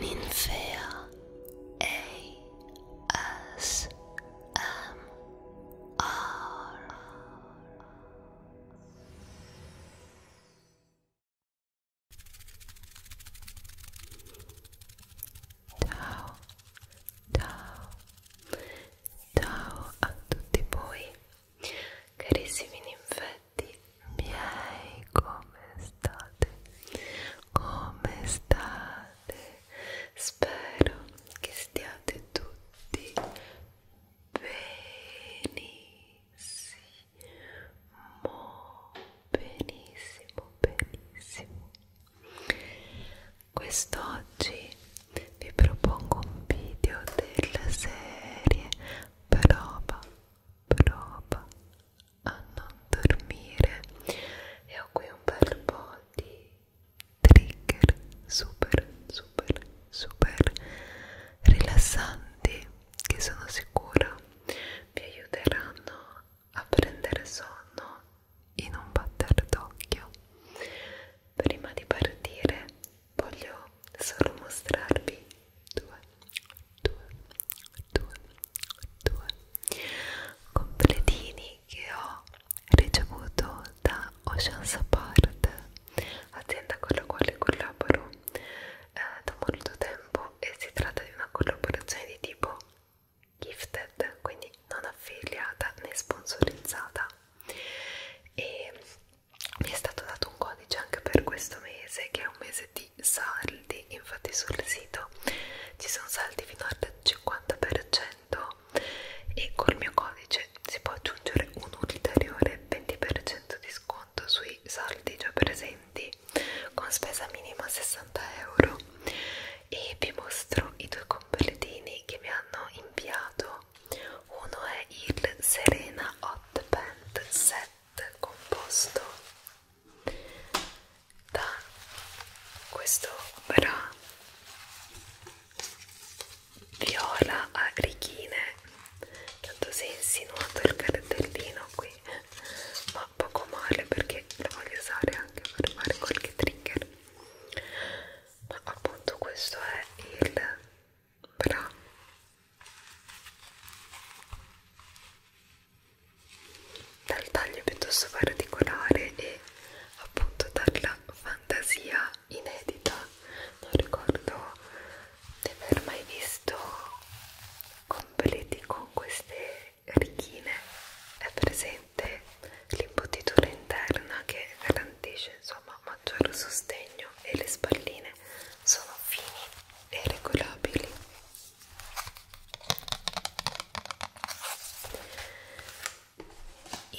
Ninfea ASMR Ciao, ciao, ciao a tutti voi carissimi ninfetti Cari miei, come state? Come state? Spero che stiate tutti benissimo, benissimo, benissimo. Quest'oggi vi propongo un video della serie Prova, prova a non dormire e ho qui un bel po' di trigger super super super rilassanti che sono sicura vi aiuteranno a prendere sonno in un batter d'occhio prima di partire voglio solo mostrarvi due, due, due, due completini che ho ricevuto da Ocean Support, azienda con la quale collaboro eh, da molto tempo e si tratta di una collaborazione di tipo gifted, quindi non affiliata né sponsorizzata e mi è stato dato un codice anche per questo mese che è un mese di saldi infatti sul sito ci sono saldi fino al 50% e col mio codice si può aggiungere un ulteriore 20% di sconto sui saldi già presenti con spesa minima 60 euro e vi mostro i due completini che mi hanno inviato uno è il Serena Hot Pant Set composto da quest'opera viola a righine tanto si è insinuato il cartellino qui ma poco male perché lo voglio usare anche per fare qualche trigger ma appunto questo è il bra dal taglio piuttosto particolare e appunto dalla fantasia inedita non ricordo di aver mai visto completi con queste righine è presente l'imbottitura interna che garantisce insomma maggior sostegno e le spalline sono fini e regolabili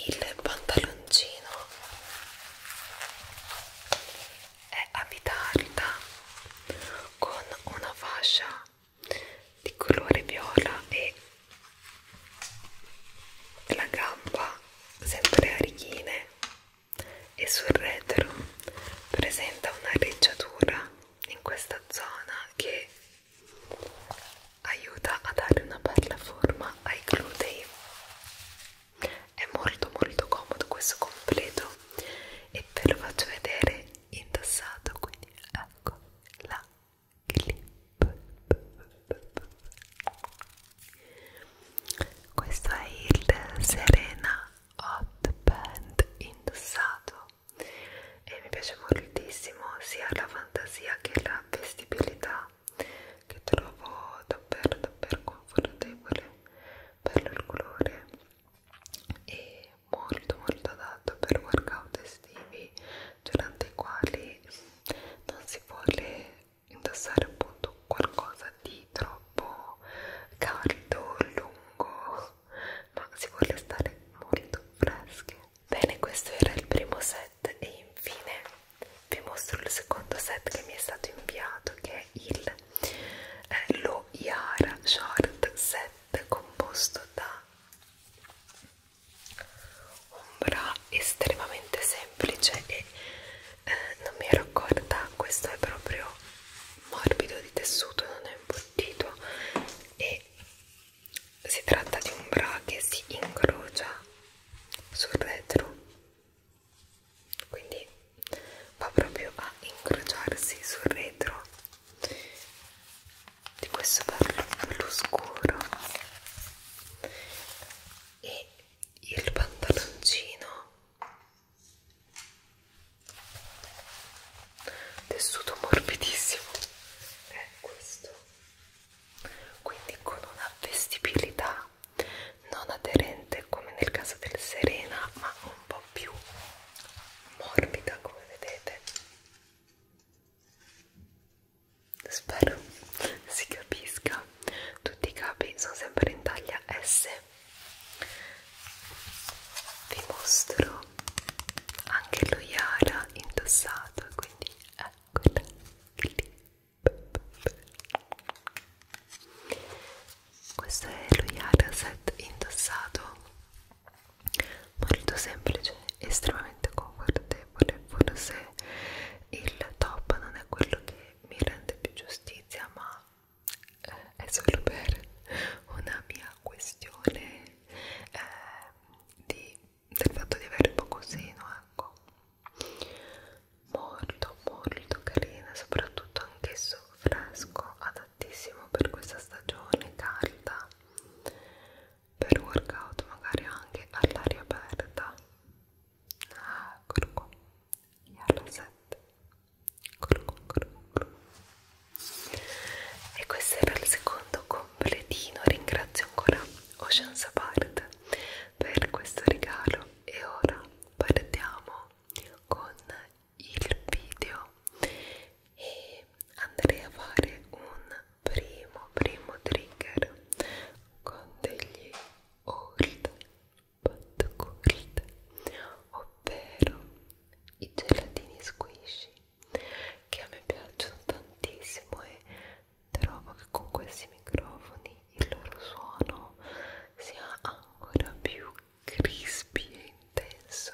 il pantaloncino è a vita alta con una fascia di colore viola e la gamba sempre a righine e sul retro presenta un'arreggiatura in questa zona che aiuta a dare una bella forma ai glutei è molto molto comodo questo completo e ve lo faccio vedere indossato quindi ecco la clip questo è il Serena hot band indossato e mi piace moltissimo sia la fantasia che la vestibilità che trovo davvero davvero confortevole bello il colore e molto molto adatto per workout estivi durante i quali non si vuole indossare appunto qualcosa di troppo troppo caldo, lungo, ma si vuole stare molto freschi. Bene, questo era il primo set e infine vi mostro il secondo set che mi è stato inviato che è il eh, Lo Yara Short Set composto da un bra estremamente semplice e eh, non mi ero accorta questo è proprio morbido di tessuto non è imbottito e si tratta di un bra che si incrocia sul retro quindi va proprio a incrociarsi sul retro di questo blu scuro e il pantaloncino tessuto morbidissimo è questo quindi con una vestibilità non aderente come nel caso del Serena ma un po' più morbida come vedete spero si capisca tutti i capi sono sempre in taglia S vi mostro anche lo Yara indossato quindi eccola lì questo è lo Yara set indossato molto semplice estremamente confortevole forse il top non è quello che mi rende più giustizia ma eh, è solo per una mia questione eh, di, del fatto di avere poco seno, ecco. Molto, molto carina, soprattutto anch'esso fresco, adattissimo per questa stagione calda, per workout magari anche all'aria aperta. Ah, eccolo qua gli R7 e questo era il secondo completino ringrazio ancora Ocean Sapart per questo regalo e ora partiamo con il video e andrei a fare un primo primo trigger con degli old pat curd ovvero i gelatini squishy che a me piacciono tantissimo e trovo che con questi microfoni il loro suono sia ancora più crispy e intenso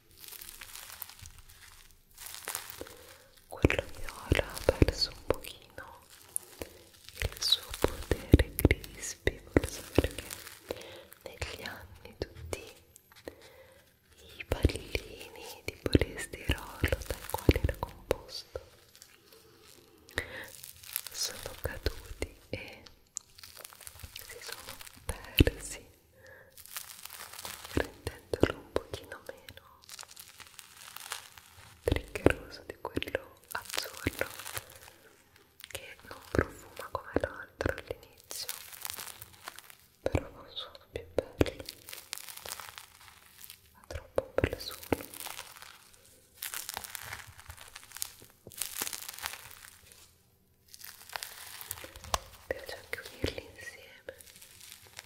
quello viola ha perso un pochino il suo potere crispy forse perché negli anni tutti i pallini di polistirolo dai quali era composto sono caduti e si sono persi rendendolo un pochino meno triggeroso di quello azzurro che non profuma come l'altro all'inizio però non sono più bello ha troppo per solo mi piace anche unirli insieme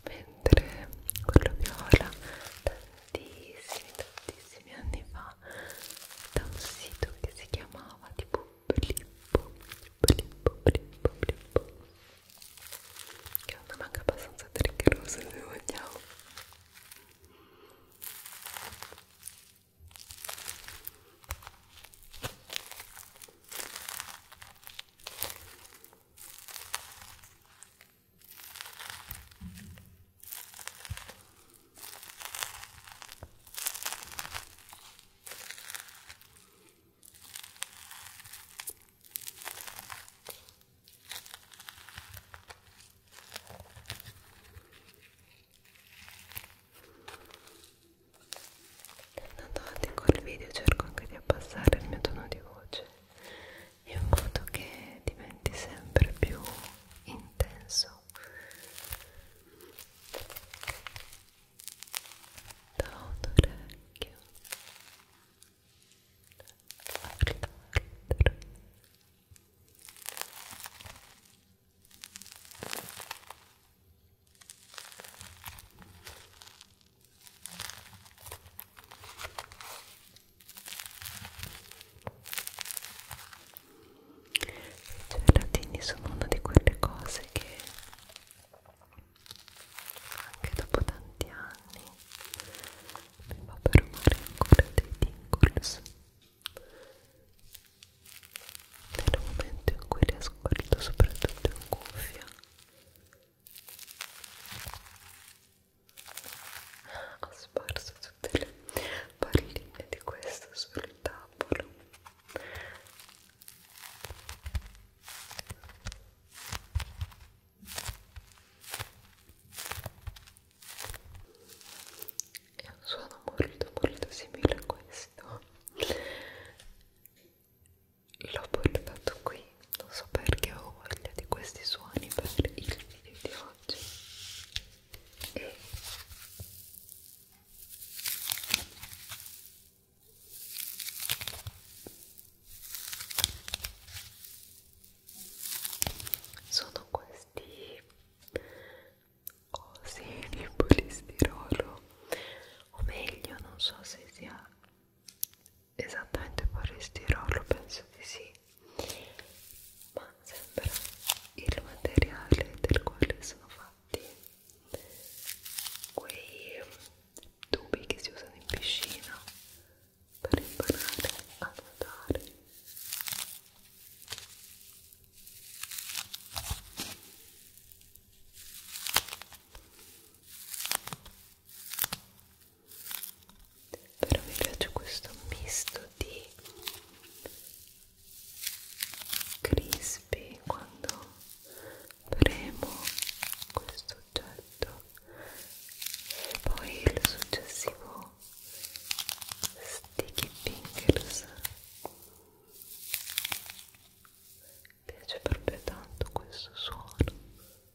mentre quello viola tantissimi tantissimi anni fa da un sito che si chiamava tipo blippo blippo blippo blippo che è una manga abbastanza triggerosa se vogliamo Andando avanti col video cerco anche di abbassare il mio tono di voce in modo che diventi sempre più intenso da un orecchio all'altro Ecco cioè, I gelatini sono una di quelle cose che anche dopo tanti anni mi fa perumare ancora dei tingles nel momento in cui li ascolto soprattutto in cuffia ho sparso tutte le palline di questo sul tavolo è un suono molto molto simile a questo l'ho portato qui non so perché ho voglia di questi suoni per il video di oggi e sono questi cosi di polistirolo o meglio non so se sia esattamente polistirolo penso di sì ma sembra il materiale del quale sono fatti quei tubi che si usano in piscina per imparare a nuotare però mi piace questo misto di crispy quando premo questo oggetto e poi il successivo sticky fingers mi piace proprio tanto questo suono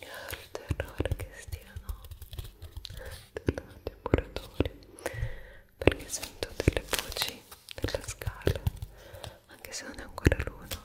il terrore che stiano tornando i muratori perché sento delle voci della scala anche se non è ancora l'uno Ecco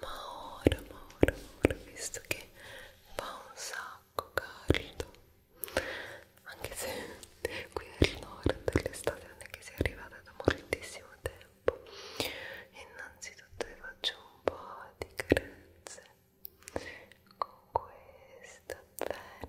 ma ora, ma ora, ma ora, visto che fa un sacco caldo anche se qui al nord l'estate non è che sia arrivata da moltissimo tempo innanzitutto vi faccio un po' di carezze con questa penna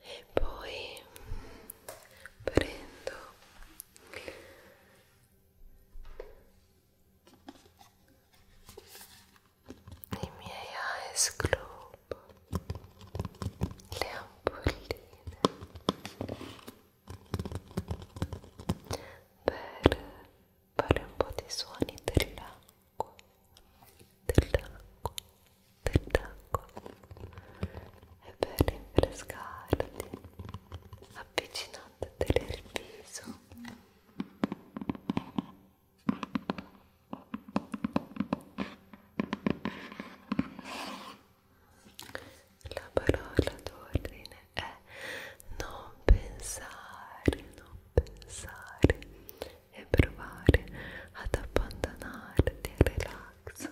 e poi prendo i miei ice globe, le ampolline per fare un po' di suoni dell'acqua, dell'acqua, dell'acqua e per rinfrescarti avvicinandoti il viso la parola d'ordine è non pensare, non pensare e provare ad abbandonarti al relax.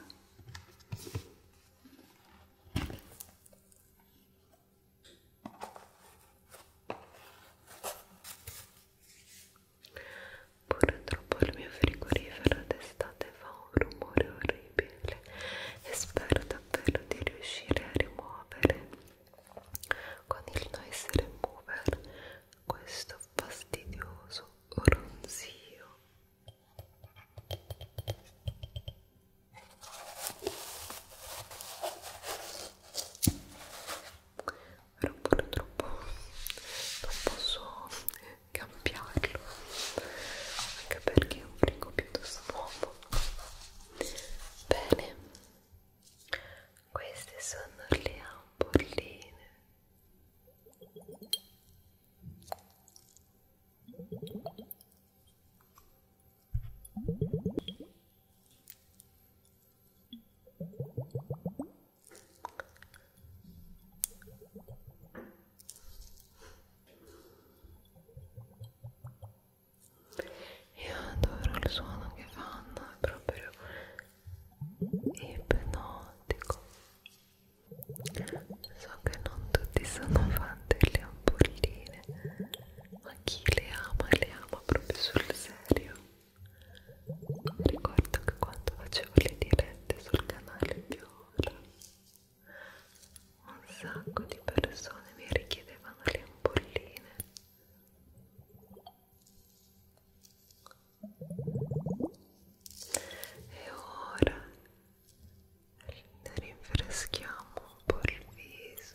Purtroppo il mio frigorifero d'estate fa un rumore orribile e spero davvero di riuscire a rimuovere con il noise remover questo fastidioso ronzio era pure troppo non posso cambiarlo anche perché è un frigo piuttosto nuovo bene queste sono le ampolline io adoro il suono che fanno, è proprio ipnotico. So che non tutti sono fan delle ampolline a chi le ama le ama proprio sul serio ricordo che quando facevo le dirette sul canale Viola un sacco di persone mi richiedevano le ampolline e ora ne rinfreschiamo un po' il viso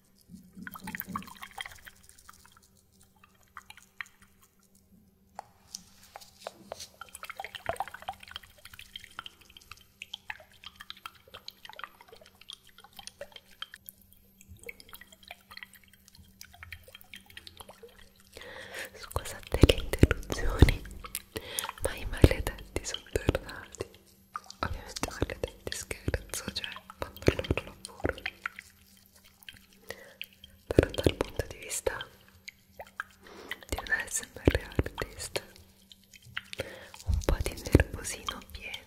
Scusate le interruzioni, ma i maledetti sono tornati ovviamente parlete di scherzo, cioè fanno il loro lavoro però dal punto di vista di un ASMR artist un po' di nervosino viene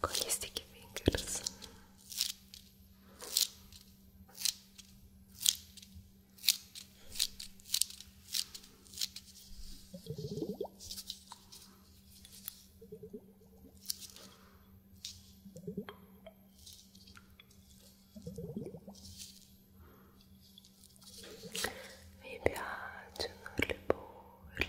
con gli sticky fingers mi piacciono le bolle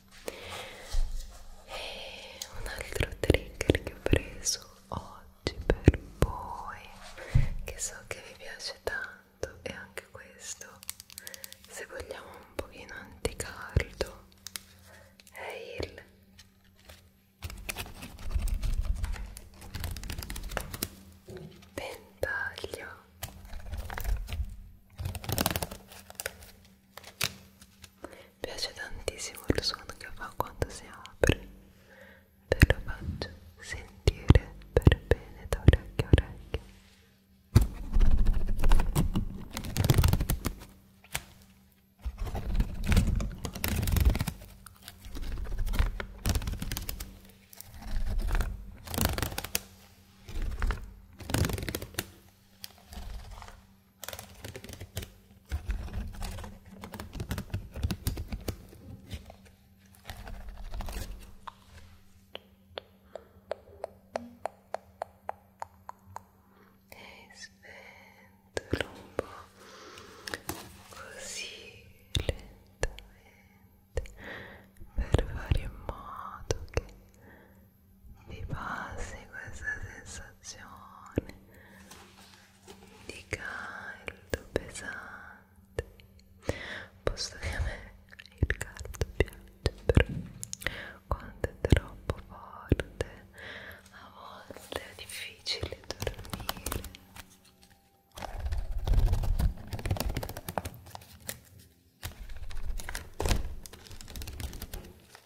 e eh, un altro trigger che ho preso oggi per voi che so che vi piace tanto è anche questo se vogliamo un pochino anticardo è il Pentaglio mi piace tantissimo il suono che fa quando si apre. Te lo faccio sentire per bene da orecchio a orecchio e sventolo un po' così lentamente per fare in modo che ti passi questa sensazione di caldo pesante posto che a me il caldo piace però quando è troppo forte a volte è difficile dormire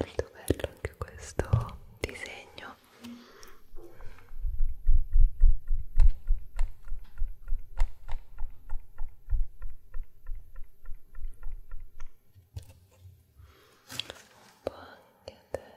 molto bello anche questo disegno un po' anche a te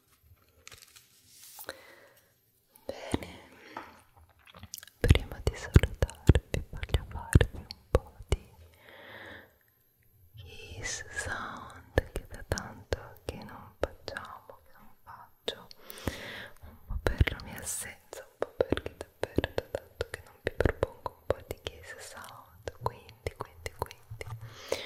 Bene, prima di salutarvi voglio farvi un po' di kiss sound che da tanto che non facciamo, che non faccio, un po' per la mia assenza, un po' perché davvero da tanto che non vi propongo un po' di kiss sound, quindi, quindi, quindi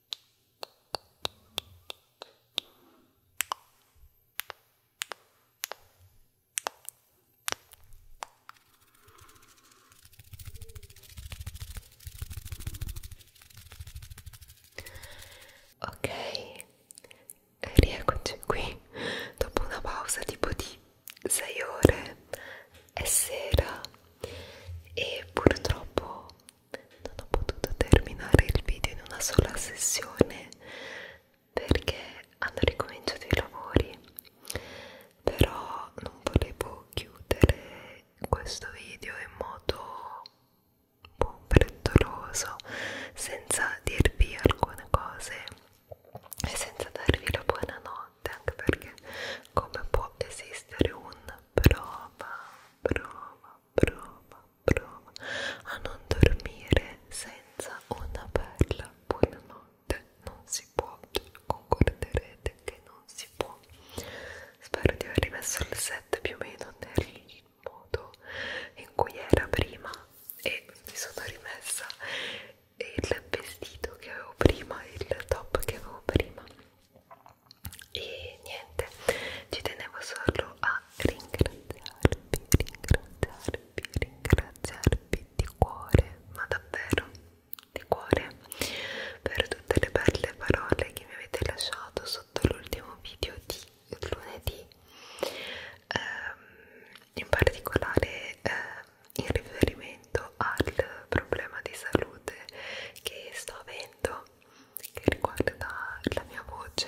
Ok, rieccoci qui dopo una pausa tipo di 6 ore, è sera e purtroppo non ho potuto terminare il video in una sola sessione perché hanno ricominciato i lavori però non volevo chiudere questo video in modo un boh, po' frettoloso senza dirvi alcune cose e senza darvi la buonanotte anche perché come può esistere un prova prova prova, prova a non dormire senza una bella buonanotte. Non si può, concorderete che non si può. Spero di aver rimesso il set più o meno nel modo in cui era prima e mi sono rimessa il vestito che avevo prima, il top che avevo prima e niente ci tenevo solo a ringraziarvi ringraziarvi ringraziarvi di cuore ma davvero di cuore per tutte le belle parole che mi avete lasciato sotto l'ultimo video di lunedì ehm, in particolare ehm, in riferimento al problema di salute che sto avendo che riguarda la mia voce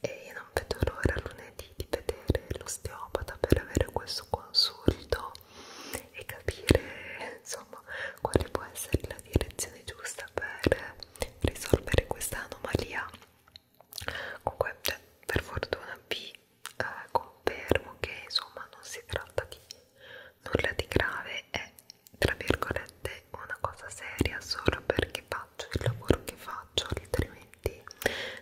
e io non vedo l'ora lunedì di vedere l'osteopata per avere questo consulto e capire insomma quale può essere la direzione giusta per risolvere questa anomalia comunque cioè, per fortuna vi eh, confermo che insomma non si tratta di nulla di grave è tra virgolette una cosa seria solo perché faccio il lavoro che faccio altrimenti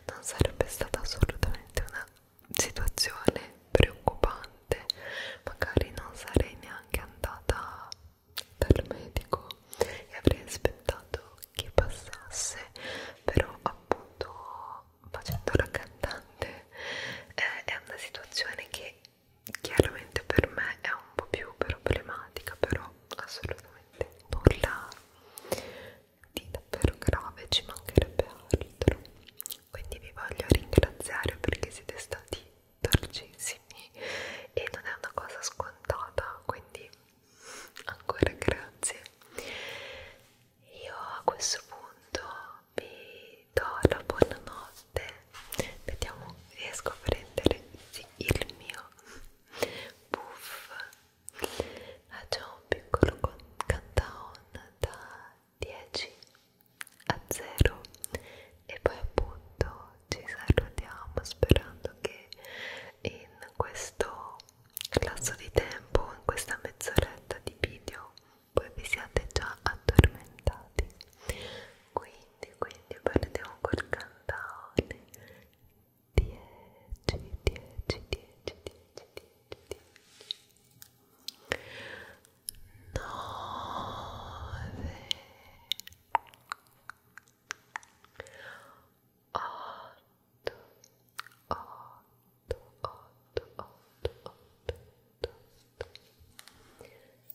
non sarebbe stata assolutamente una situazione preoccupante magari non sarei neanche andata dal medico e avrei aspettato che passasse però appunto facendo la cantante eh, è una situazione che chiaramente per me è un po' più problematica però assolutamente nulla di davvero grave ci mancherebbe altro quindi vi voglio ringraziare perché siete stati dolcissimi e non è una cosa scontata quindi ancora grazie io a questo punto vi do la buonanotte vediamo riesco a prendere sì, il mio puff facciamo un piccolo countdown da 10 a 0 e poi appunto ci salutiamo sperando che in questo lasso di tempo in questa mezz'oretta di video voi vi siate già addormentati quindi quindi partiamo col cantaone 10 10 10 10 10 10 10 9 8 8 8 8 8 7 6 5 4 3 2 1